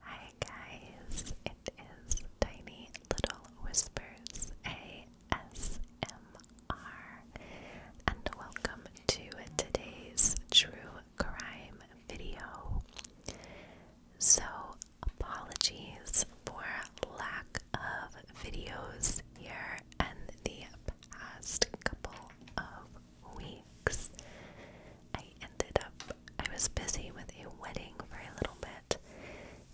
Hi guys, it is Tiny Little Whispers ASMR, and welcome to today's true crime video. So, apologies for lack of videos here and the past couple of weeks. I ended up, I was busy with a wedding for a little bit,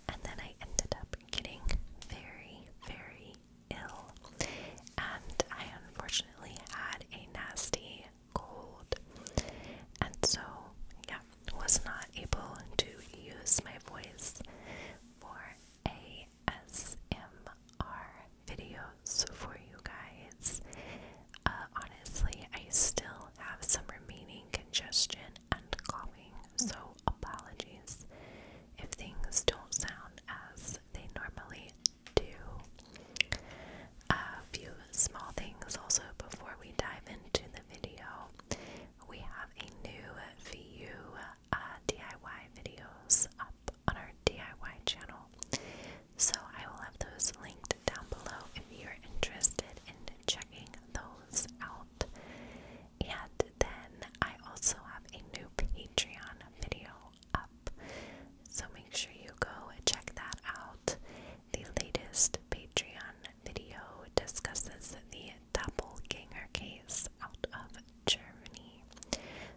and then I ended up getting very, very ill. And I unfortunately had a nasty cold. And so, yeah, was not able to use my voice for ASMR video videos for you guys. Uh, honestly, I still have some remaining congestion and coughing, so apologies if things don't sound as they normally do. A few small things also before we dive into the video. We have a new VU uh, DIY videos up on our DIY channel. So I will have those linked down below if you're interested in checking those out. And then I also have a new Patreon video up. So make sure you go check that out. The latest Patreon video discusses the doppelganger case out of Germany.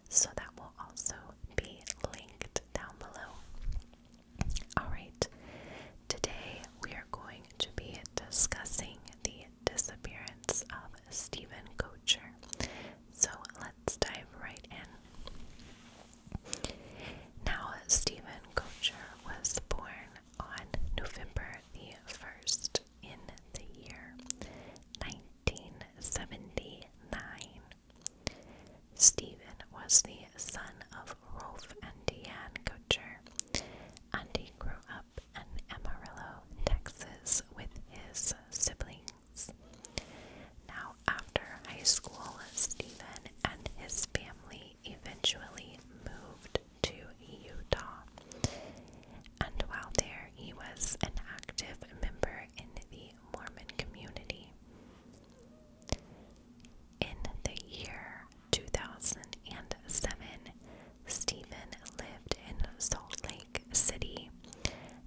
So that will also be linked down below. Alright, today we are going to be discussing the disappearance of Stephen Kocher. So let's dive right in. Now, Stephen Kocher was born on November the 1st in the year 1979 Stephen was the son of Rolf and Diane Kocher, and he grew up in Amarillo, Texas, with his siblings. Now, after high school, Stephen and his family eventually moved to Utah, and while there, he was an active member in the Mormon community. In the year 2007, Stephen lived in Salt Lake City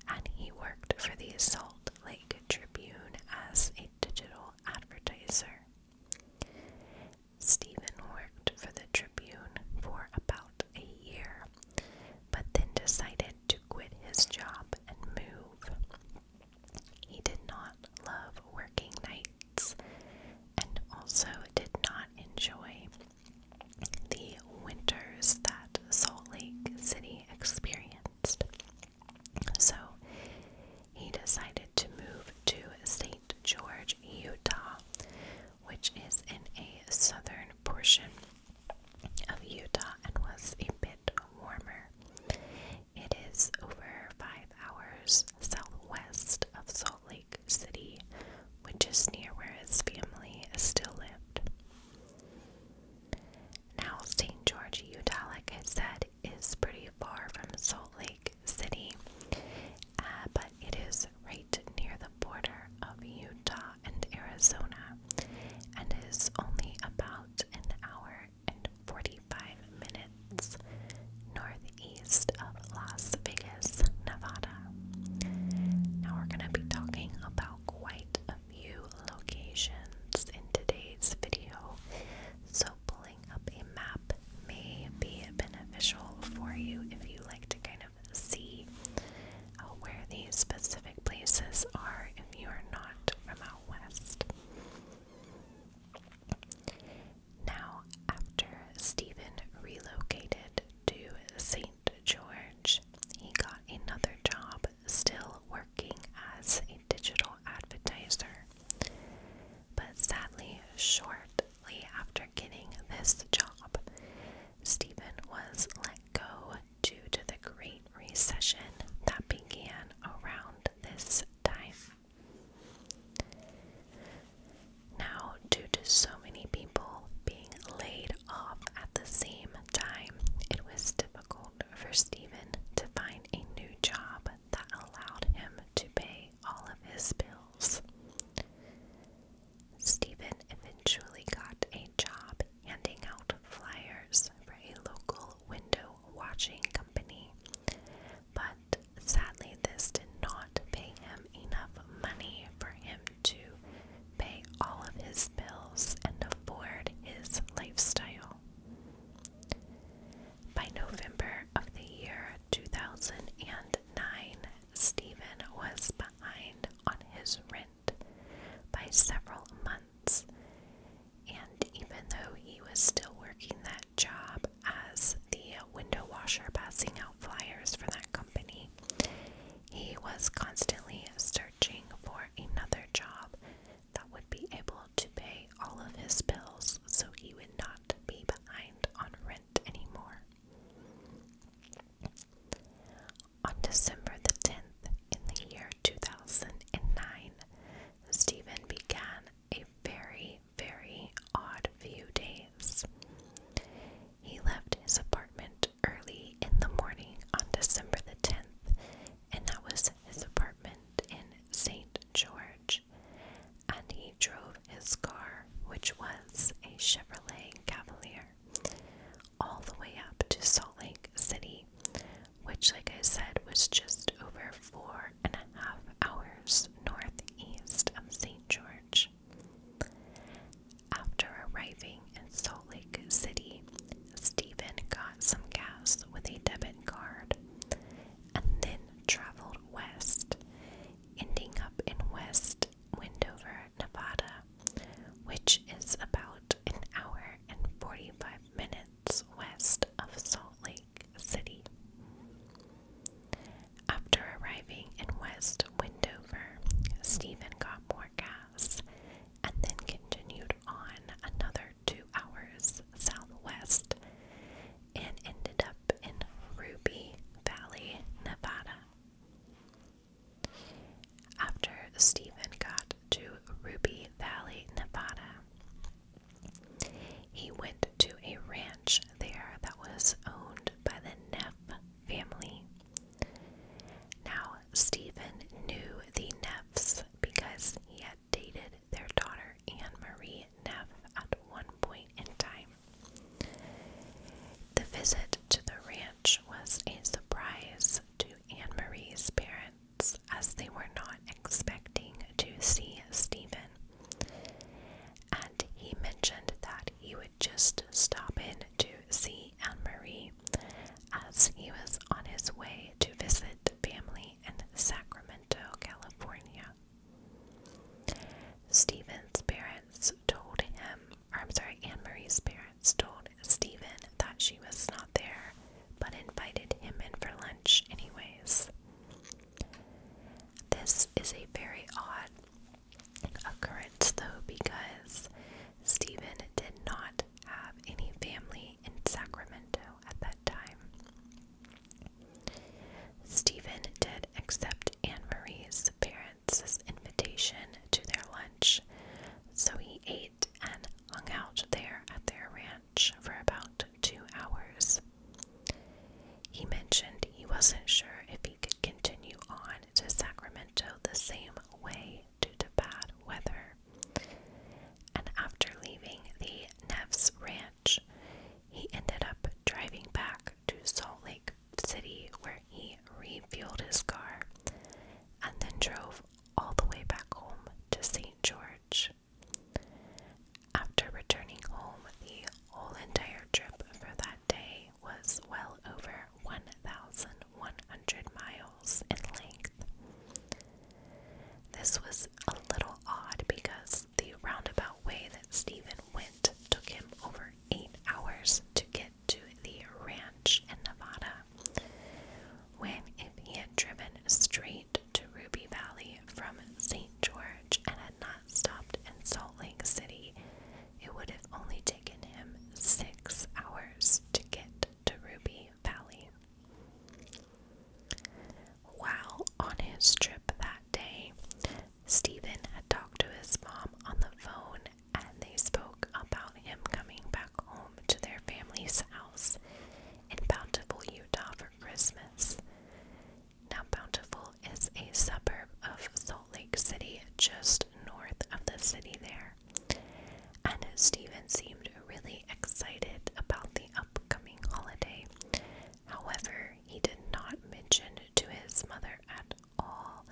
and he worked for the Salt Lake Tribune as a digital advertiser. Stephen worked for the Tribune for about a year, but then decided to quit his job and move. He did not love working nights and also did not enjoy the winters that Salt Lake City experienced. So he decided to move to St. George, Utah, which is in a southern portion of Utah and was a bit warmer. It is over five hours southwest of Salt Lake City, which is near where his family still lived. Now, St. George, Utah, like I said, is pretty far from Salt Lake City, uh, but it is right near the border of Utah and Arizona, and is only about an hour and 45 minutes northeast of Las Vegas, Nevada. Now we're going to be talking about quite a few locations in today's video, so pulling up a map may be beneficial for you if you like to kind of see uh, where these specific places are if you are not from out west. Now, after Stephen relocated to St. George, he got another job still working as a digital advertiser. But sadly, shortly after getting this job, Stephen was let go due to the Great Recession that began around this time. Now, due to so many people being laid off at the same time, it was difficult for Stephen to find a new job that allowed him to pay all of his bills. Stephen eventually got a job handing out flyers for a local window washing company, but sadly, this did not pay him enough money for him to pay all of his bills and afford his lifestyle. By November of the year 2009, Stephen was behind on his rent by several months. And even though he was still working that job as the window washer, passing out flyers for that company, he was constantly searching for another job that would be able to pay all of his bills so he would not be behind on rent anymore. On December the 10th, in the year 2009, Stephen began a very, very odd few days. He left his apartment early in the morning on December the 10th, and that was his apartment in St. George. And he drove his car, which was a Chevrolet Cavalier, all the way up to Salt Lake City, which, like I said, was just over four and a half hours northeast of St. George. After arriving in Salt Lake City, Stephen got some gas with a debit card and then traveled west, ending up in West Windover, Nevada, which is about an hour and 45 minutes west of Salt Lake City. After arriving in West Windover, Stephen got more gas and then continued on another two hours southwest and ended up in Ruby Valley, Nevada. After Stephen got to Ruby Valley, Nevada, he went to a ranch there that was owned by the Neff family. Now, Stephen knew the Neffs because he had dated their daughter Anne Marie Neff at one point in time. The visit to the ranch was a surprise to Anne Marie's parents as they were not expecting to see Stephen. And he mentioned that he would just stop in to see Anne Marie as he was on his way to visit family in Sacramento, California. Stephen's parents parents told him, or I'm sorry, Anne Marie's parents told Stephen that she was not there, but invited him in for lunch anyways. This is a very odd occurrence though, because Stephen did not have any family in Sacramento at that time. Stephen did accept Anne Marie's parents. This invitation to their lunch, so he ate and hung out there at their ranch for about two hours. He mentioned he wasn't sure if he could continue on to Sacramento the same way due to bad weather. And after leaving the Neffs' Ranch, he ended up driving back to Salt Lake city where he refueled his car and then drove all the way back home to St. George. After returning home, the whole entire trip for that day was well over 1,100 miles in length. This was a little odd because the roundabout way that Stephen went took him over eight hours to get to the ranch in Nevada. When, if he had driven straight to Ruby Valley from St. George and had not stopped in Salt Lake City, it would have only taken him six hours to get to Ruby Valley. While on his trip that day, Stephen had talked to his mom on the phone and they spoke about him coming back home to their family's house in Bountiful, Utah for Christmas. Now, Bountiful is a suburb of Salt Lake City, just north of the city there. And Stephen seemed really excited about the upcoming holiday. However, he did not mention to his mother at all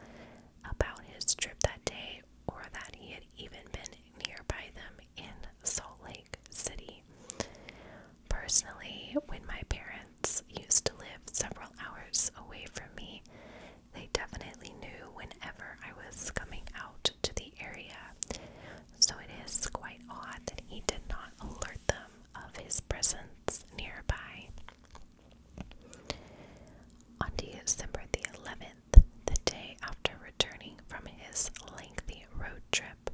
about his trip that day or that he had even been nearby them in Salt Lake City. Personally, when my parents used to live several hours away from me, they definitely knew whenever I was coming out to the area, so it is quite odd that he did not alert them of his presence nearby. On December the 11th, the day after returning from his lengthy road trip,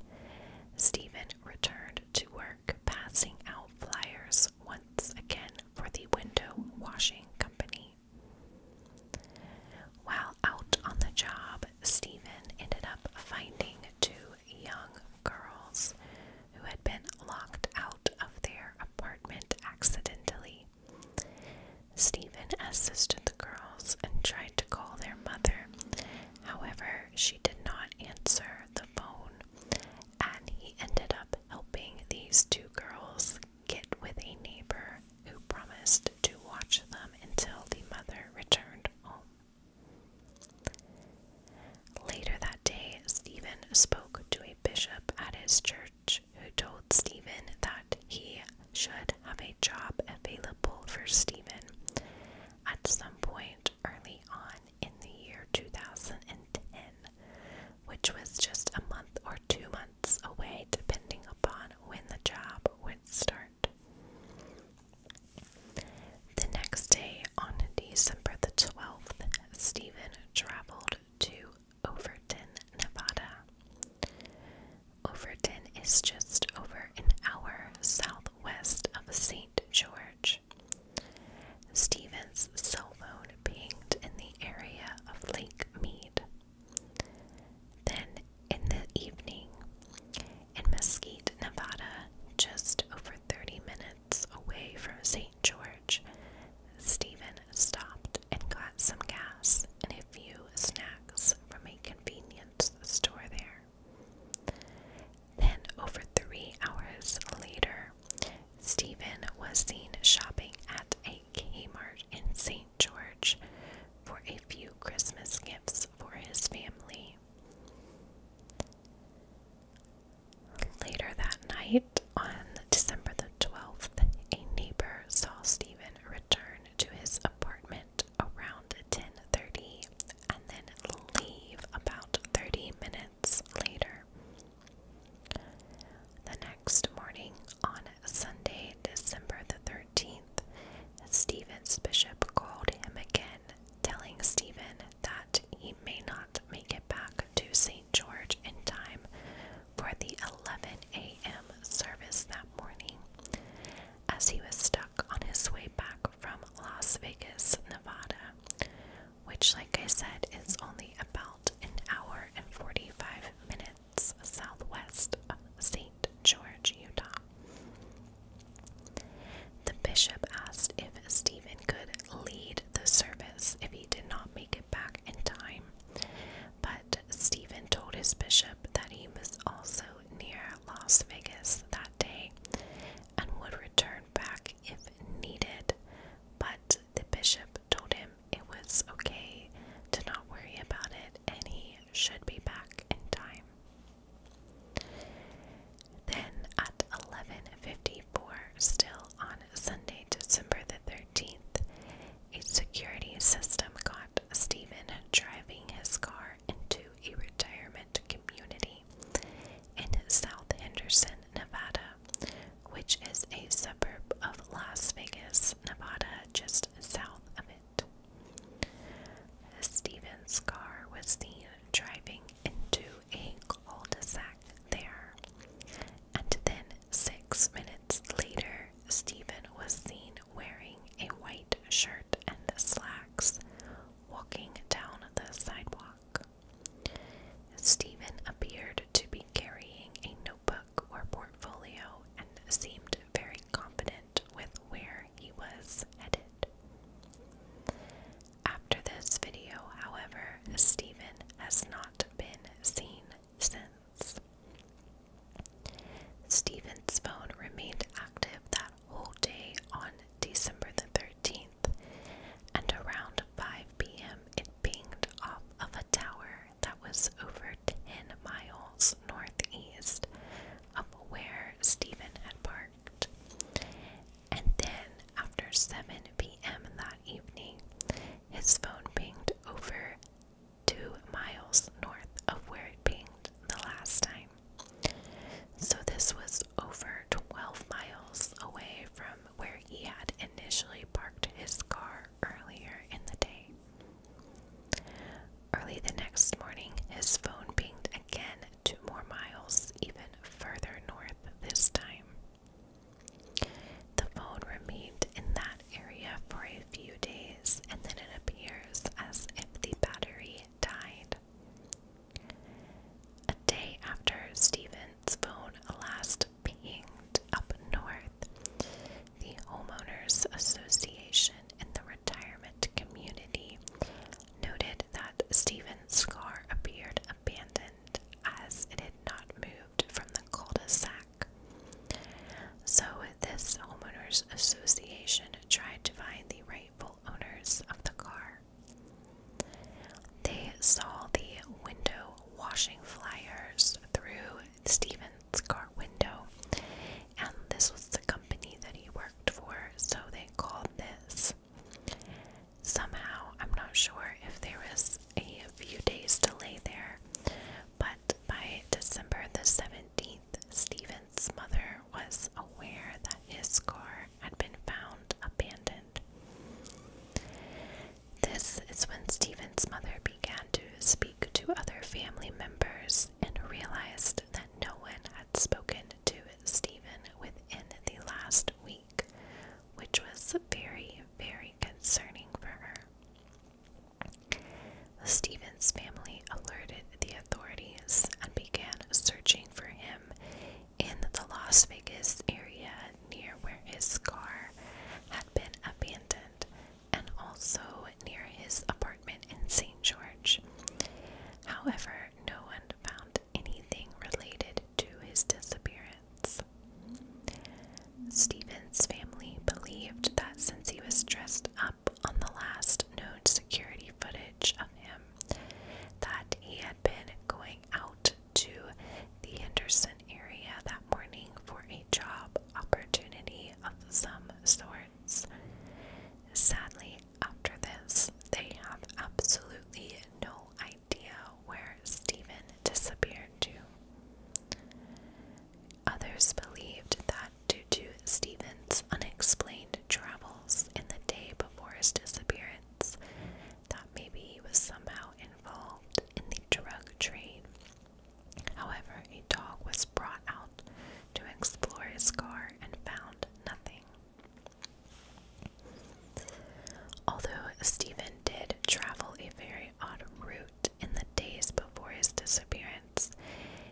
Stephen returned to work, passing out flyers once again for the window washing company. While out on the job, Stephen ended up finding two young girls who had been locked out of their apartment accidentally. Stephen assisted the girls and tried to call their mother. However, she did not answer the phone, and he ended up helping these two girls get with a neighbor who promised to watch them until the mother returned home. Later that day, Stephen spoke to a bishop at his church who told Stephen that he should have a job available for Stephen at some point early on in the year 2010, which was just a month or two months away, depending upon when the job would start. The next day, on December the 12th, Stephen traveled to Overton, Nevada. Overton is just over an hour southwest of St. George. Stephen's cell phone pinged in the area of Lake Mead. Then, in the evening, in Mesquite, Nevada, just over 30 minutes away from St. George, Stephen stopped and got some gas and a few snacks from a convenience store there. Then, over three hours later, Stephen was seen shopping at a Kmart in St. George for a few Christmas gifts for his family Later that night, on December the 12th, a neighbor saw Stephen return to his apartment around 10:30 and then leave about 30 minutes later. The next morning, on Sunday, December the 13th, Stephen's bishop called him again, telling Stephen that he may not make it back to St. George in time for the 11 a.m. service that morning, as he was stuck on his way back from Las Vegas, Nevada, which, like I said, is only about an hour and 45 minutes southwest of St. George, Utah. The bishop asked if Stephen could lead the service if he did not make it back in time, but Stephen told his bishop that he was also near Las Vegas that day and would return back if needed, but the bishop told him it was okay to not worry about it and he should be back in time. Then at 11:54 still on Sunday, December the 13th, a security system caught Stephen driving his car into a retirement community in South Henderson, Nevada, which is a suburb of Las Vegas, Nevada, just south of it. Stephen's car was seen driving into a cul-de-sac there, and then six minutes later, Stephen was seen wearing a white shirt and slacks walking down the sidewalk. Stephen appeared to be carrying a notebook or portfolio and seemed very competent with where he was headed. After this video, however, Stephen has not been seen since. Stephen's phone remained active that whole day on December the 13th, and around 5 p.m., it pinged off of a tower that was over 10 miles northeast of where Stephen had parked. And then, after 7 p.m. that evening, his phone pinged over two miles north of where it pinged the last time. So, this was over 12 miles away from where he had initially parked his car earlier in the day. Early the next morning, his phone pinged again two more miles, even further north this time. The phone remained in that area for a few days, and then it appears as if the battery died. A day after Stevens' phone last pinged up north, the Homeowners Association in the retirement community noted that Stephen's car appeared abandoned as it had not moved from the cul-de-sac. So this homeowners association tried to find the rightful owners of the car. They saw the window washing flyers through Stephen's car window, and this was the company that he worked for, so they called this. Somehow, I'm not sure if there was a few days delay there, but by December the 17th, Stephen's mother was aware that his car had been found abandoned. This is when Stephen's mother began to speak to other family members and realized that no one had spoken to Stephen within the last week, which was very, very concerning for her. Stephen's family alerted the authorities and began searching for him in the Las Vegas area near where his car had been abandoned and also near his apartment in St. George. However, no one found anything related to his disappearance. Stephen's family believed that since he was dressed up on the last known security footage of him, that he had been going out to the Henderson area that morning for a job opportunity of some sort parents. Sadly, after this, they have absolutely no idea where Stephen disappeared to. Others believed that due to Stephen's unexplained travels in the day before his disappearance, that maybe he was somehow involved in the drug trade However, a dog was brought out to explore his car and found nothing. Although Stephen did travel a very odd route in the days before his disappearance,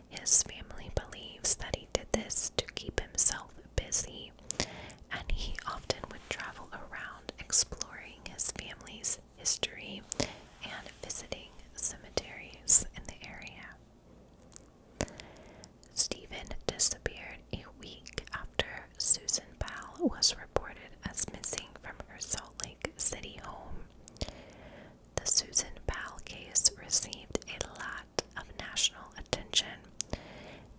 his family believes that he did this to keep himself busy, and he often would travel around exploring his family's history and visiting cemeteries in the area. Stephen disappeared a week after Susan Powell was reported as missing from her Salt Lake City home. The Susan Powell case received a lot of national attention,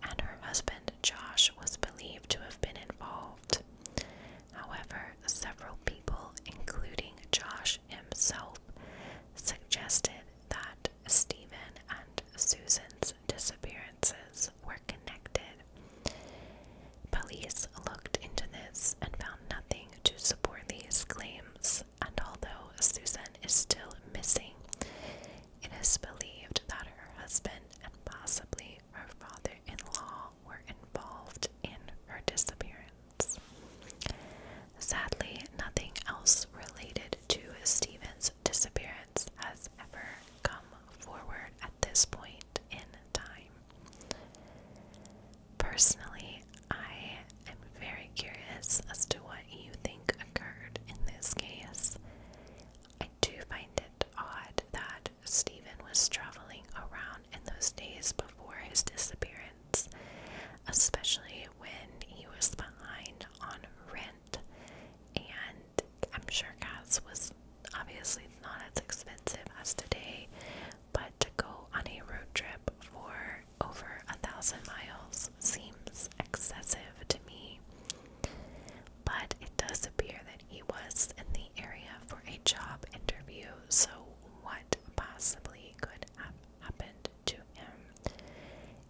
and her husband Josh was believed to have been involved. However, several people, including Josh himself, suggested that Stephen and Susan's disappearances were connected. Police looked into this and found nothing to support these claims, and although Susan is still missing, it is believed that her husband and possibly her father in law were involved in her disappearance. Sadly, nothing else related to Stephen's disappearance has ever come forward at this point in time. Personally, I am very curious as to what you think occurred in this case. I do find it odd that Steven was traveling around around in those days before his disappearance, especially when he was behind on rent. And I'm sure gas was obviously not as expensive as today, but to go on a road trip for over a thousand miles seems excessive to me. But it does appear that he was in the area for a job interview, so why possibly could have happened to him?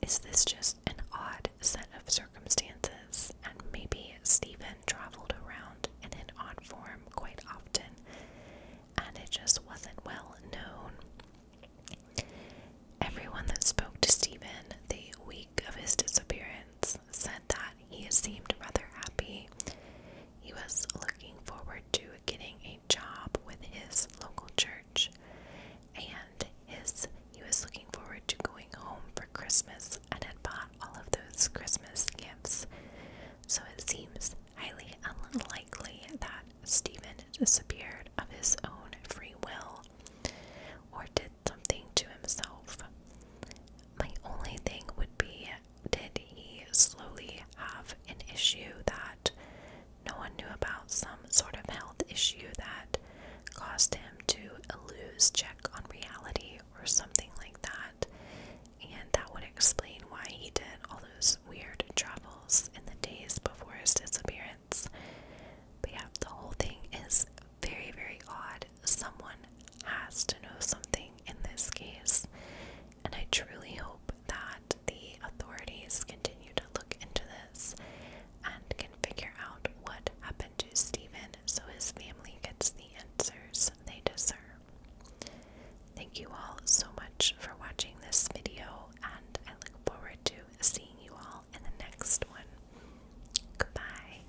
Is this just an odd set of circumstances? And maybe Stephen traveled around in an odd form quite often and it just wasn't well known. Everyone that spoke to Stephen the week of his disappearance said that he seemed rather happy. He was looking forward to getting a job with his local church, and his he was looking forward to going home for Christmas and had bought all of those Christmas gifts. So it seems highly unlikely that Stephen disappeared of his own free will or did something to himself. My only thing would be did he slowly have an issue that no one knew about, some sort of health issue that caused him to lose check on reality or something like that? And that would explain why he did all those weird travels in the days before his disappearance. But yeah, the whole thing is very, very odd someone has to know something in this case, and I truly hope that the authorities continue to look into this and can figure out what happened to Stephen so his family gets the answers they deserve. Thank you all so much for watching this video, and I look forward to seeing you all in the next one. Goodbye.